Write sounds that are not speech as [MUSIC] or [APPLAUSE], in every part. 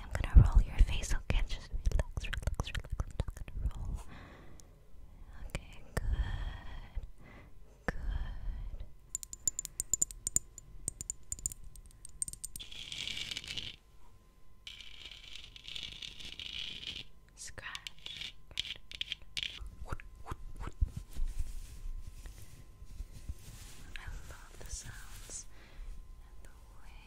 I'm gonna roll your face, okay? Just relax, relax, relax. I'm gonna roll. Okay, good. Good. Scratch. I love the sounds and the way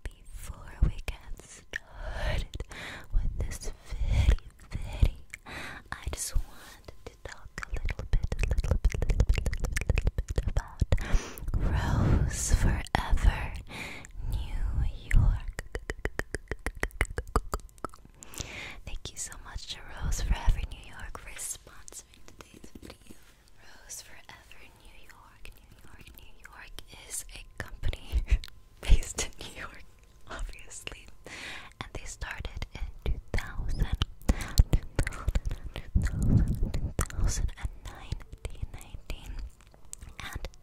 Before we get started with this video, I just want talk a little bit, a little bit, little bit, little little bit about Rose Forever, New York. Thank you so much to Rose Forever New York for sponsoring today's video. Rose Forever New York, New York, New York is a company [LAUGHS] based in New York obviously. And they started in 2000, and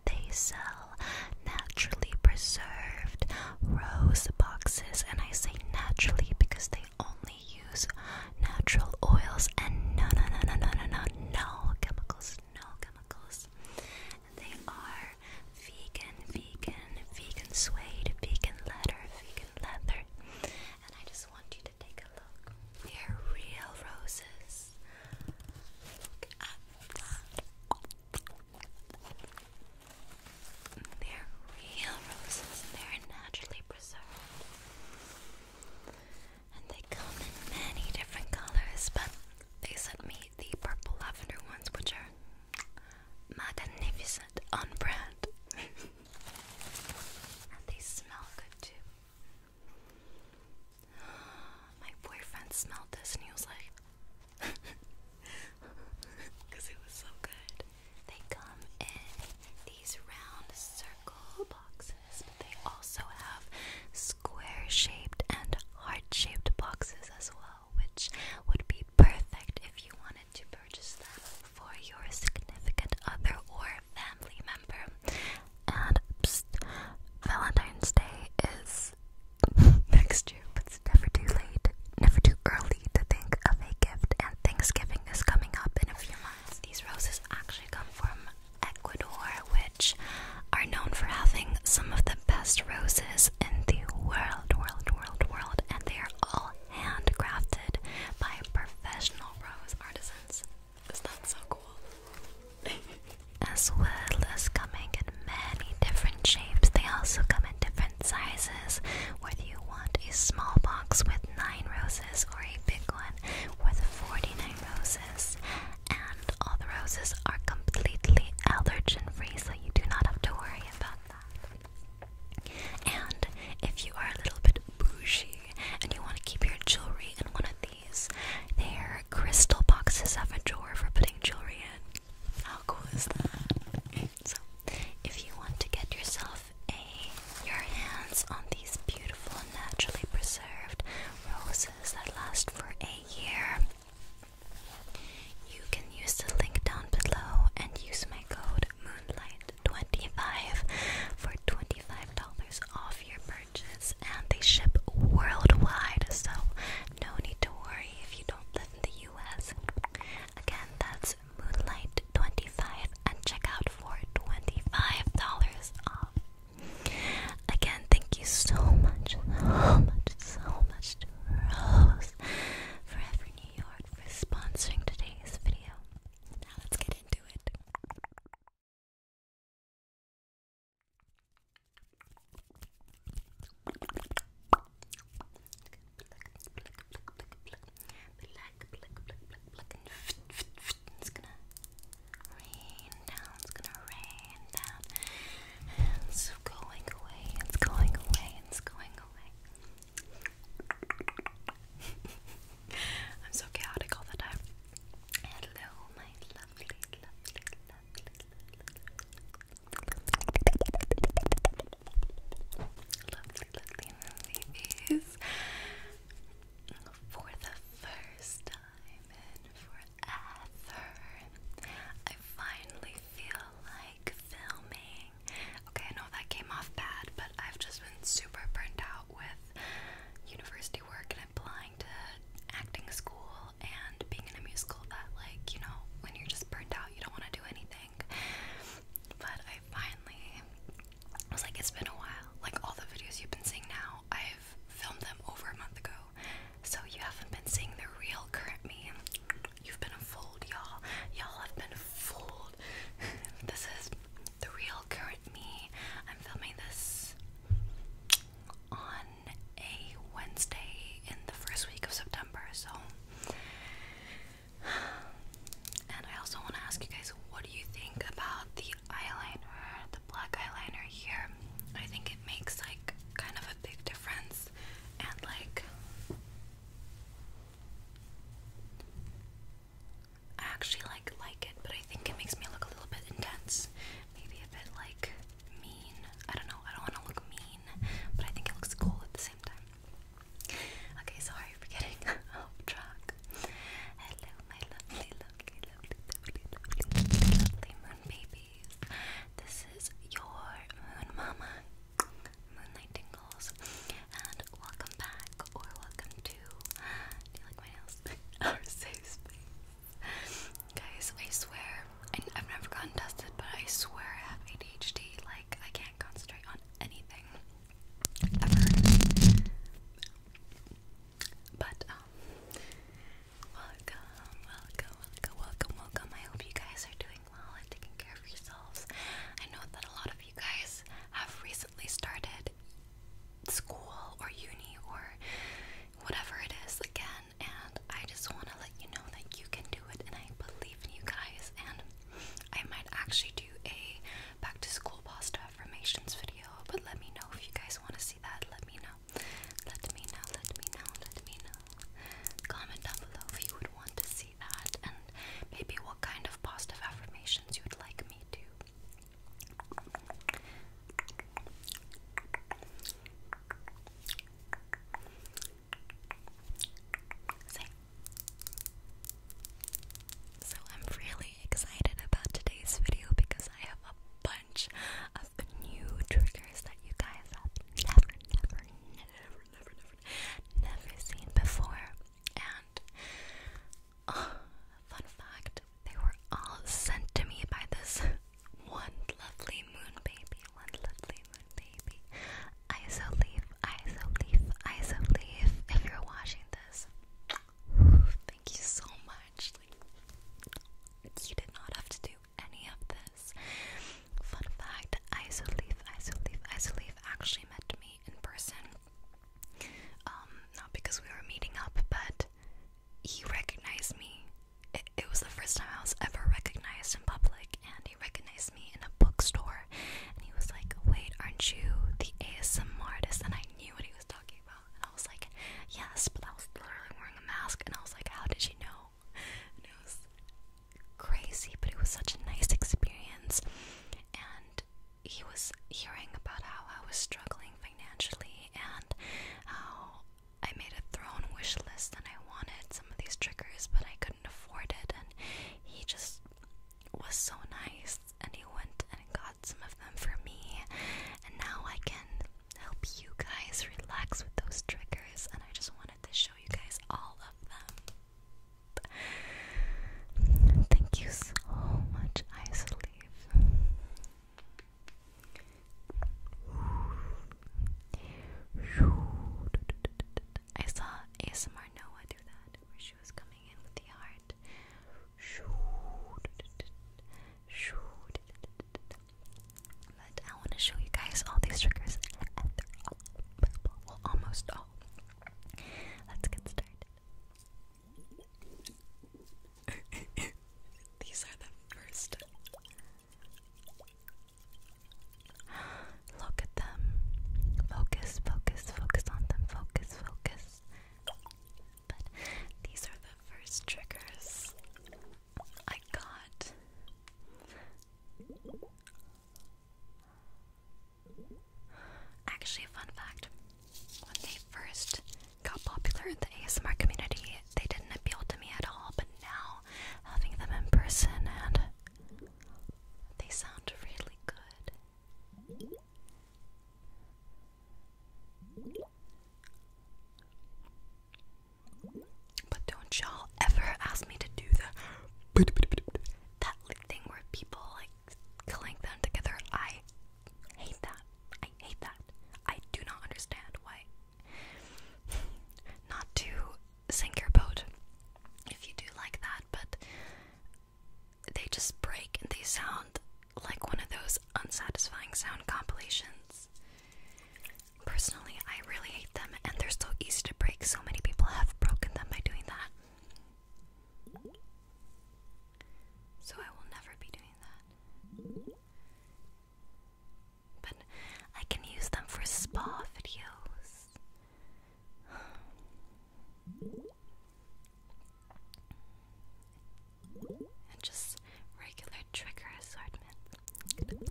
they sell naturally preserved rose boxes. And I say naturally because they only use natural oils and no, no, no, no, no, no, no, chemicals, no chemicals. they are vegan, vegan, vegan suede, vegan leather, vegan leather. And I just want you to take a look. They are real roses. Look at They're real roses and they're naturally preserved. And they come in many different colors, but they sent me the purple lavender ones, which are magnificent on brand. [LAUGHS] and they smell good too. [GASPS] My boyfriend smelled this and he was like, because [LAUGHS] it was so good. They come in these round circle boxes, but they also have square shaped and heart shaped boxes as well which would be perfect if you wanted to purchase them for your significant other or family member. And Valentine's Day is [LAUGHS] next year, but it's never too late, never too early to think of a gift. And Thanksgiving is coming up in a few months. These roses actually come from Ecuador, which are known for having some of the best roses in the world, world, world, world, and they are all handcrafted by professional rose artisans. Is that so cool? [LAUGHS] as well as coming in many different shapes, they also come in different sizes. Whether you want a small box with 9 roses or a big one with 49 roses, and all the roses are completely allergen free, so you do not have to worry and if you are a little bit bougie and you want to keep your jewelry in one of these, there are crystal boxes have a drawer for putting jewelry in. How cool is that? So, if you want to get yourself a your hands on these beautiful naturally preserved roses that last for a year, you can use the link down below and use my code MOONLIGHT25 for $25 off your purchase and they ship worldwide so no need to worry if you don't live in the US. Again, that's MOONLIGHT25 and check out for $25 off. Again, thank you so much, so much, so much to Rose thanks, Forever New York, for sponsoring today's video. Now let's get into it it's going away, it's going away, it's going away. I'm so chaotic all the time. Hello, my lovely, lovely, lovely, lovely, lovely movies. For the first time and for forever. I finally feel like filming. Okay, I know that came off bad, but I've just been super burnt out with university work and applying to acting school and being in a musical that, like, you know, when you're just burnt out, you don't want to do anything. But I finally was like, it's been a while. Like, all the videos you've been seeing now, I've filmed them over a month ago. So you haven't been seeing the real current me. You've been fooled, y'all. Y'all have been fooled. [LAUGHS] this is the real current me. I'm filming this on a Wednesday in the first week of September, so and I also want to ask you guys what do you think about the eyeliner, the black eyeliner here? I think it makes like kind of a big difference and like I actually like like it, but I think it makes me look a little bit intense. Maybe a bit like mean. I don't know. I don't want to look mean, but I think it looks cool at the same time. Okay, sorry for getting [LAUGHS] off oh, track. Hello, my lovely, lovely, lovely, lovely, lovely, lovely moon baby. This is your moon mama, Moonlight Tingles, and welcome back or welcome to. Do you like my nails? [LAUGHS] Our safe space, guys. I swear, I've never gotten tested, but I swear I have ADHD. Like I can't concentrate on anything ever. But um, Welcome, welcome, welcome, welcome, welcome. I hope you guys are doing well and taking care of yourselves. I know that a lot of you guys have recently started school or uni or whatever it is again, and I just want to let you know that you can do it, and I believe in you guys. And I might actually do a back to school pasta affirmations video, but let me know if you guys want to see that. Let me know let me know, let me know, let me know. Comment down below if you would want to see that and maybe what kind of positive affirmations you would like me to. So I'm really excited about today's video because I have a of new triggers that you guys have never, never, never, never, never, never seen before. And uh, fun fact, they were all sent to me by this one lovely moon baby, one lovely moon baby. Iso leaf, iso leaf, iso leaf. If you're watching this, thank you so much. you did not have to do any of this. Fun fact, Isoleaf, Isoleaf, Isoleaf actually met me in person. Um, not because we were meeting up, but he recognized me. It, it was the first time I was ever recognized in public, and he recognized me in a bookstore. And he was like, Wait, aren't you the ASM artist? And I knew what he was talking about tomorrow? And I was like, yes, but I was literally wearing a mask. And I was like, how did you know? And it was crazy, but it was such a nice experience. And he was hearing about how I was struggling financially and how I made a thrown wish list and I wanted some of these triggers, but I couldn't afford it. And he just was so nice, and he went and got some of them for me and now I can help you guys relax with those triggers. And I just wanted to show you guys all of them. Thank you so much, Ice I saw ASMR Noah do that, where she was coming in with the heart. I want to show you guys all these triggers. almost all. Let's get started. [LAUGHS] these are the first. [GASPS] Look at them. Focus, focus, focus on them. Focus, focus. But these are the first triggers I got. Actually, fun fact when they first got popular in the ASMR community, they didn't appeal to me at all, but now having them in person and they sound really good. But don't y'all ever ask me to do the that thing where people like clink them together. I hate that. I hate that. I do not understand why. [LAUGHS] not to sink your boat if you do like that, but they just break and they sound like one of those unsatisfying sound compilations. Personally, I really hate them, and they're so easy to break. So many people have broken them by doing that. So I will never be doing that. But I can use them for spa videos and just regular trigger assortment.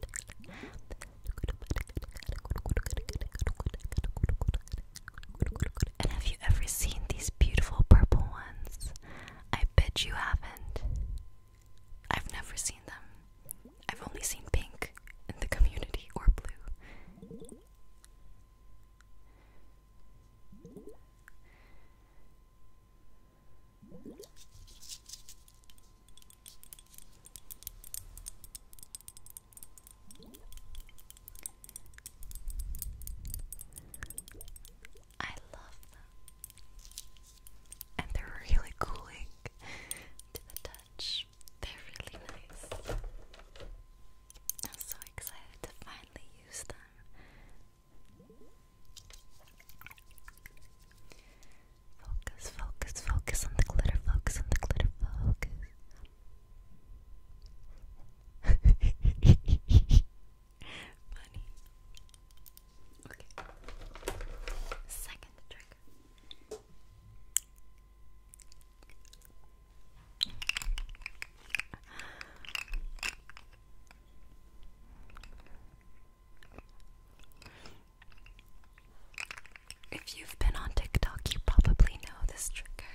And have you ever seen these beautiful purple ones? I bet you haven't. I've never seen them. I've only seen pink in the community or blue. I love them, and they're really cooling [LAUGHS] to the touch. They're really nice. I'm so excited to finally use them Focus, focus, focus on the glitter, focus on the glitter, focus. Funny. [LAUGHS] Okay. Second trick. If you've been on TikTok, you probably know this trigger.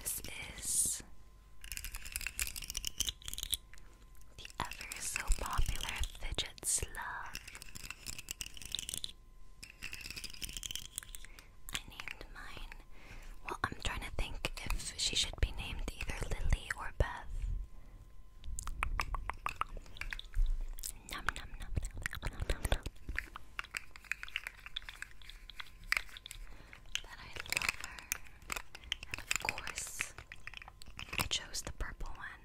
This is the ever so popular fidget slug. I named mine. Well, I'm trying to think if she should be named either Lily or Beth. Nom nom nom nom nom nom nom. That I love her. And of course, I chose the purple one.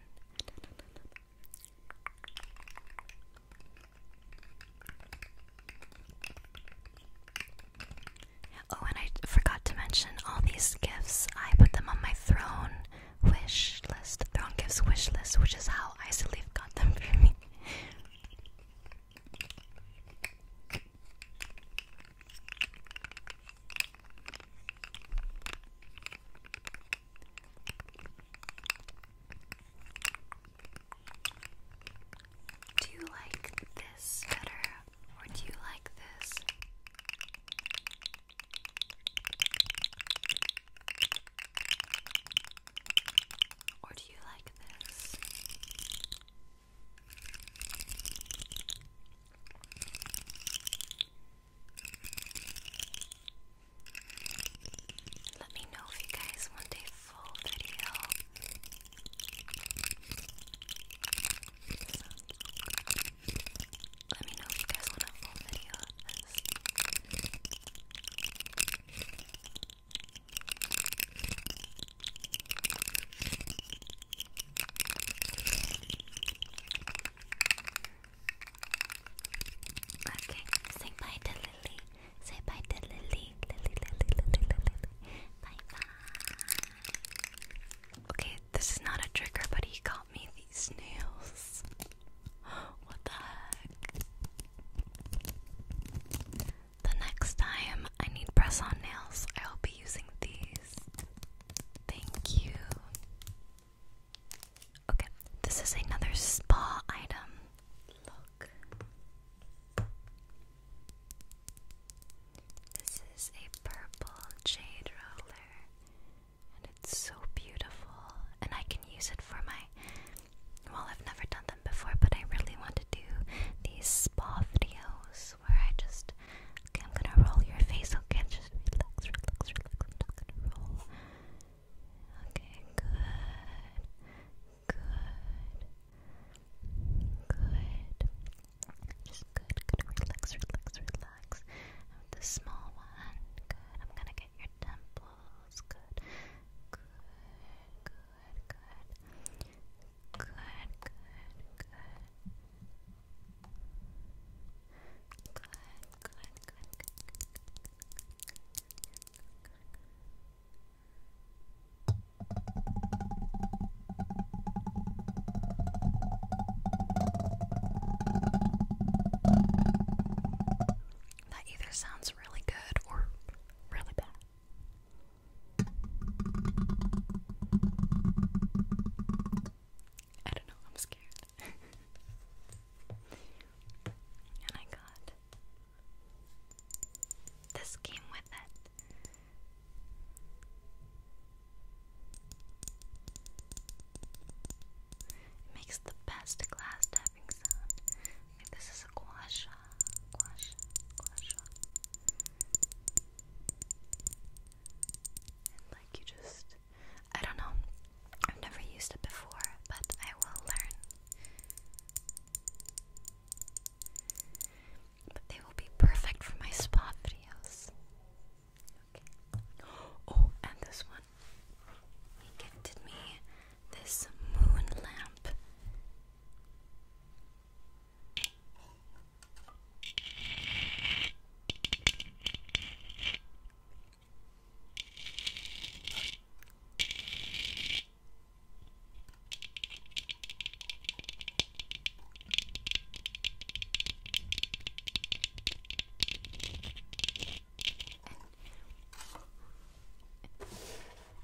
Oh, and I forgot to mention all these gifts. I put them on my throne wish list, throne gifts wish list, which is how Isolith got them for me. Do you like this better or do you like this? Or do you like this? Let me know if you guys want a full let me know if you guys want a full video Okay, say Lily. Say bye to Lily. Lily, Lily, Lily, Lily. Bye bye. Okay, this is not a trigger, but he got me these nails. [GASPS] what the heck? The next time I need press on nails, I will be using these. Thank you. Okay, this is another spa item. This is a purple jade roller, and it's so beautiful. And I can use it for my. Well, I've never done them before, but I really want to do these spa videos where I just. I'm gonna roll your face, okay? Just roll Okay, good, good, good. Just good, good. Relax, relax, relax. the small one, good. I'm gonna get your temples. good, good, good, good, good, good, good, good, good, good that either sounds really good or really bad. I don't know, I'm scared. [LAUGHS] and I got this came with it. It makes the best glass tapping sound. this is a guasha, guasha, guasha. like you just, I don't know. I've never used it before, but I will learn they will be perfect for my spa videos. Oh, and this one. He gifted me this moon lamp.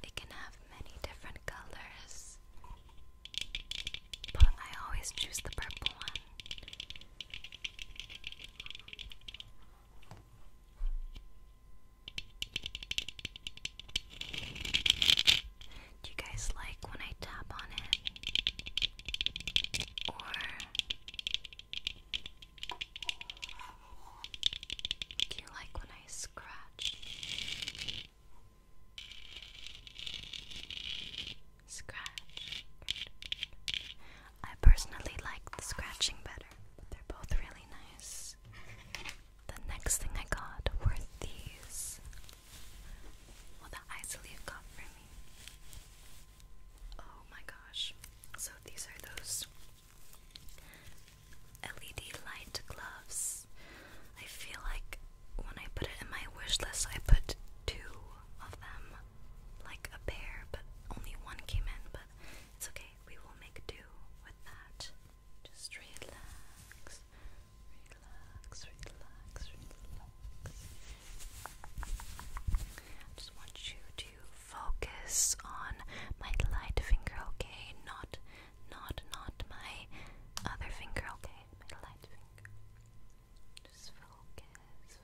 It can have many different colors, but I always choose the purple one. Do you guys like when I tap on it? Or do you like when I scratch? Scratch. I personally like the scratching better, but they're both really nice. The next thing I got were these. Well, the Isolief got for me. Oh my gosh. So these are those LED light gloves. I feel like when I put it in my wish list, I put two of them, like a pair, but only one came in, but it's okay we will make do with that. Just relax, relax, relax, relax. I just want you to focus on my light finger, okay? Not, not, not my other finger, okay? My light finger. Just focus,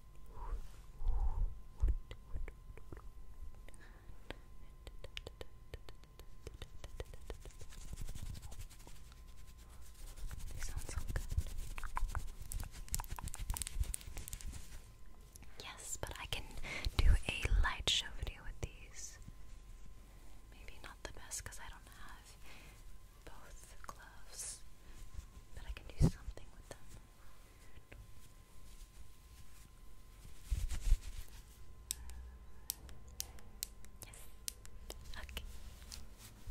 They sound so good. Yes, but I can do a light show video with these. Maybe not the best because I don't have both gloves, but I can do something with them.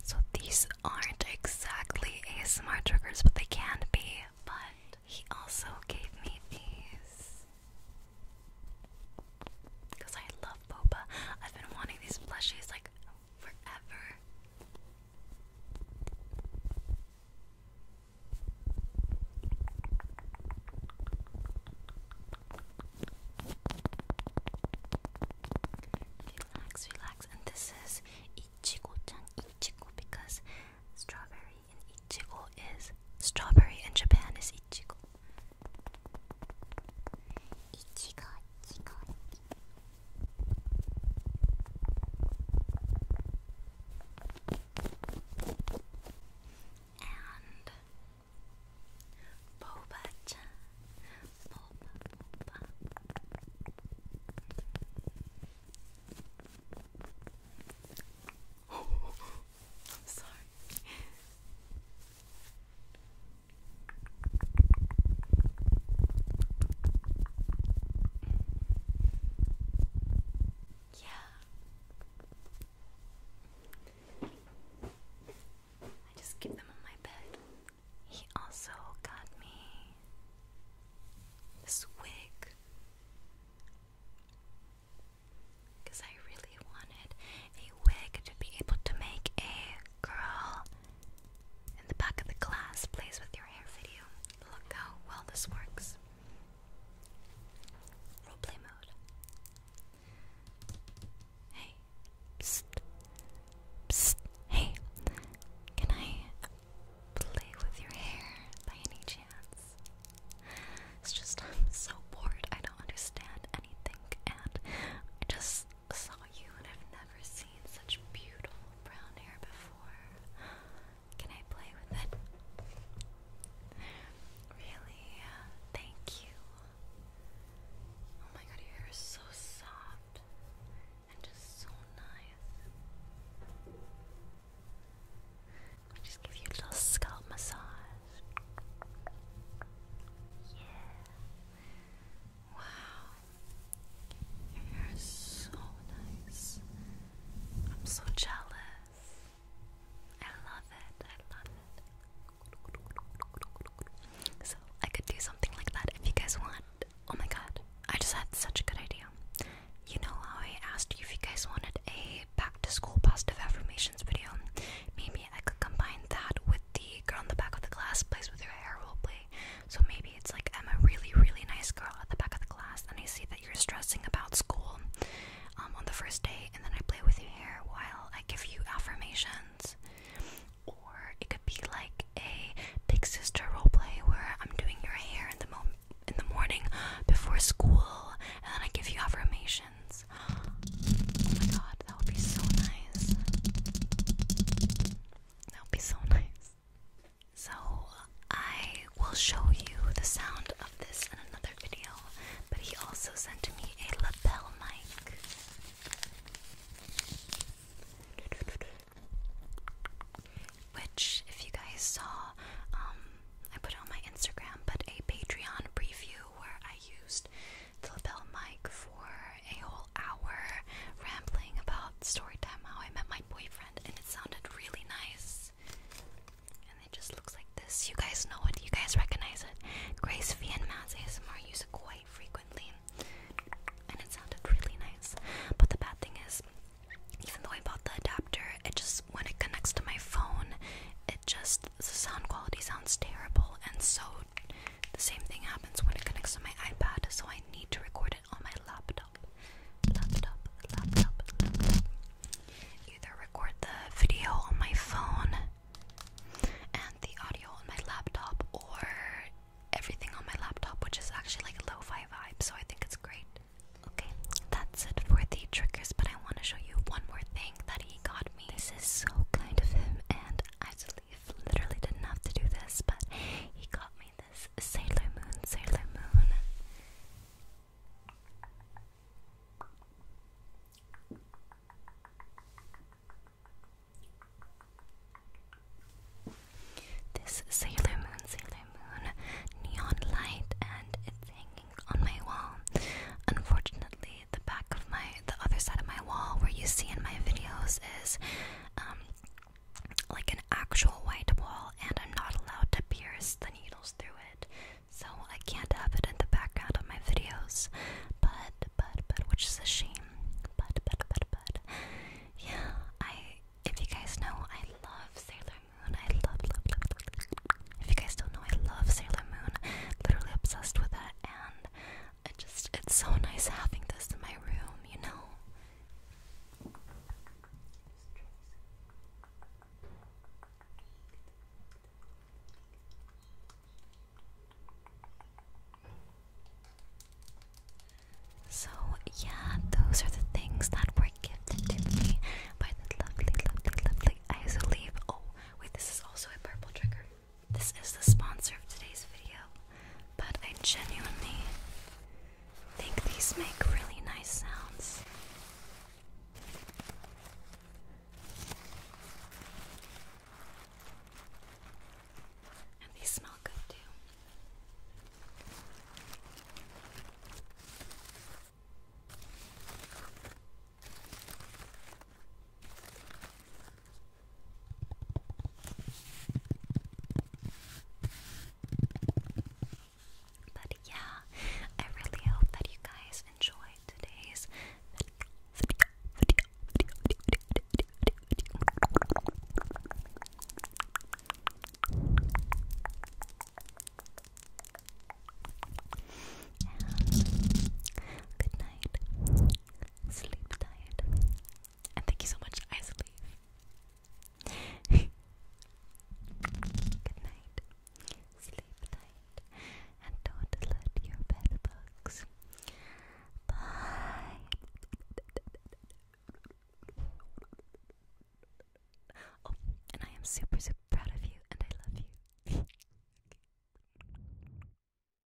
So these aren't exactly ASMR triggers, but they can be. But he also gave me these because I love boba. I've been wanting these plushies like forever. Relax, relax, and this is Ichigo-chan, Ichigo because strawberry in Ichigo is strawberry in Japan is Ichigo. Ichigo, Ichigo. And boba boba, boba. [LAUGHS] I'm sorry. Yeah. I just keep them on my bed. He also got me this wig because I really wanted a wig to be able to make a girl in the back of the class, plays with your hair video. Look how well this works. Roleplay mode. Hey. Hey. Can I play with your hair by any chance? It's just, [LAUGHS] I'm so bored. I don't understand anything. And I just saw you and I've never seen such beautiful brown hair before. Can I play with it? Really? Thank you. Oh my god, your hair is so soft and just so nice. I'll just give you a little scalp massage. Yeah. Wow. Your hair is so nice. I'm so jealous. I love it. I love it. So, I could do something like that if you guys want. Oh my god, I just had such a good idea. You know how I asked you if you guys wanted a back to school positive affirmations video? Maybe I could combine that with the girl on the back of the class plays with her hair role play so maybe it's like I'm a really, really nice girl at the back of the class, and I see that you're stressing about school um, on the first day, and then I play with your hair while I give you affirmations. Or it could be like a big sister role play where I'm doing your hair in the in the morning before school, and then I give you affirmations. Oh my god, that would be so nice. That would be so [LAUGHS] nice. So, I will show you the sound of this in another video, but he also sent me a lapel mic. Which, if you guys saw, um, I put on my Instagram, but a Patreon preview where I used the lapel mic for a whole hour rambling about story time how I met my boyfriend and it sounded really nice. And it just looks like this. You guys know it, you guys recognize it. Grace V and Mads ASMR use it quite frequently. And it sounded really nice. But the bad thing is, even though I bought the adapter, it just when it connects to my phone, it just the sound quality sounds terrible and so the same thing happens when it connects to my iPad, so I need to record it on my laptop. Laptop, laptop, Either record the video on my phone and the audio on my laptop, or everything on my laptop, which is actually like a lo fi vibe, so I think it's great. Okay, that's it for the triggers, but I want to show you one more thing that he got me. This is so kind of him, and I Leaf literally didn't have to do this, but he got me this Sailor Moon, Sailor Moon. This Sailor Moon, Sailor Moon neon light, and it's hanging on my wall. Unfortunately, the back of my, the other side of my wall, where you see in my videos, is um, like an actual white wall, and I'm not allowed to pierce the needles through it, so I can't have it in the background of my videos. But, but, but, which is a shame. But, but, but, but, yeah, I. If you guys know, I love Sailor Moon. I love, love, love, love. If you guys don't know, I love Sailor Moon. Literally obsessed with that. and it just it's so nice having this in my room, you know. So, yeah, those are the things that were gifted to me by the lovely, lovely, lovely Isoleave. Oh, wait, this is also a purple trigger. This is the sponsor of today's video, but I genuinely think these make really nice sounds. And these smell good too. But yeah, I really hope that you guys enjoyed today's video. good night. Sleep tight. And thank you so much, I Good night. Sleep tight. And don't let your bed Bye. Oh, and I am super, super proud of you, and I love you. [LAUGHS]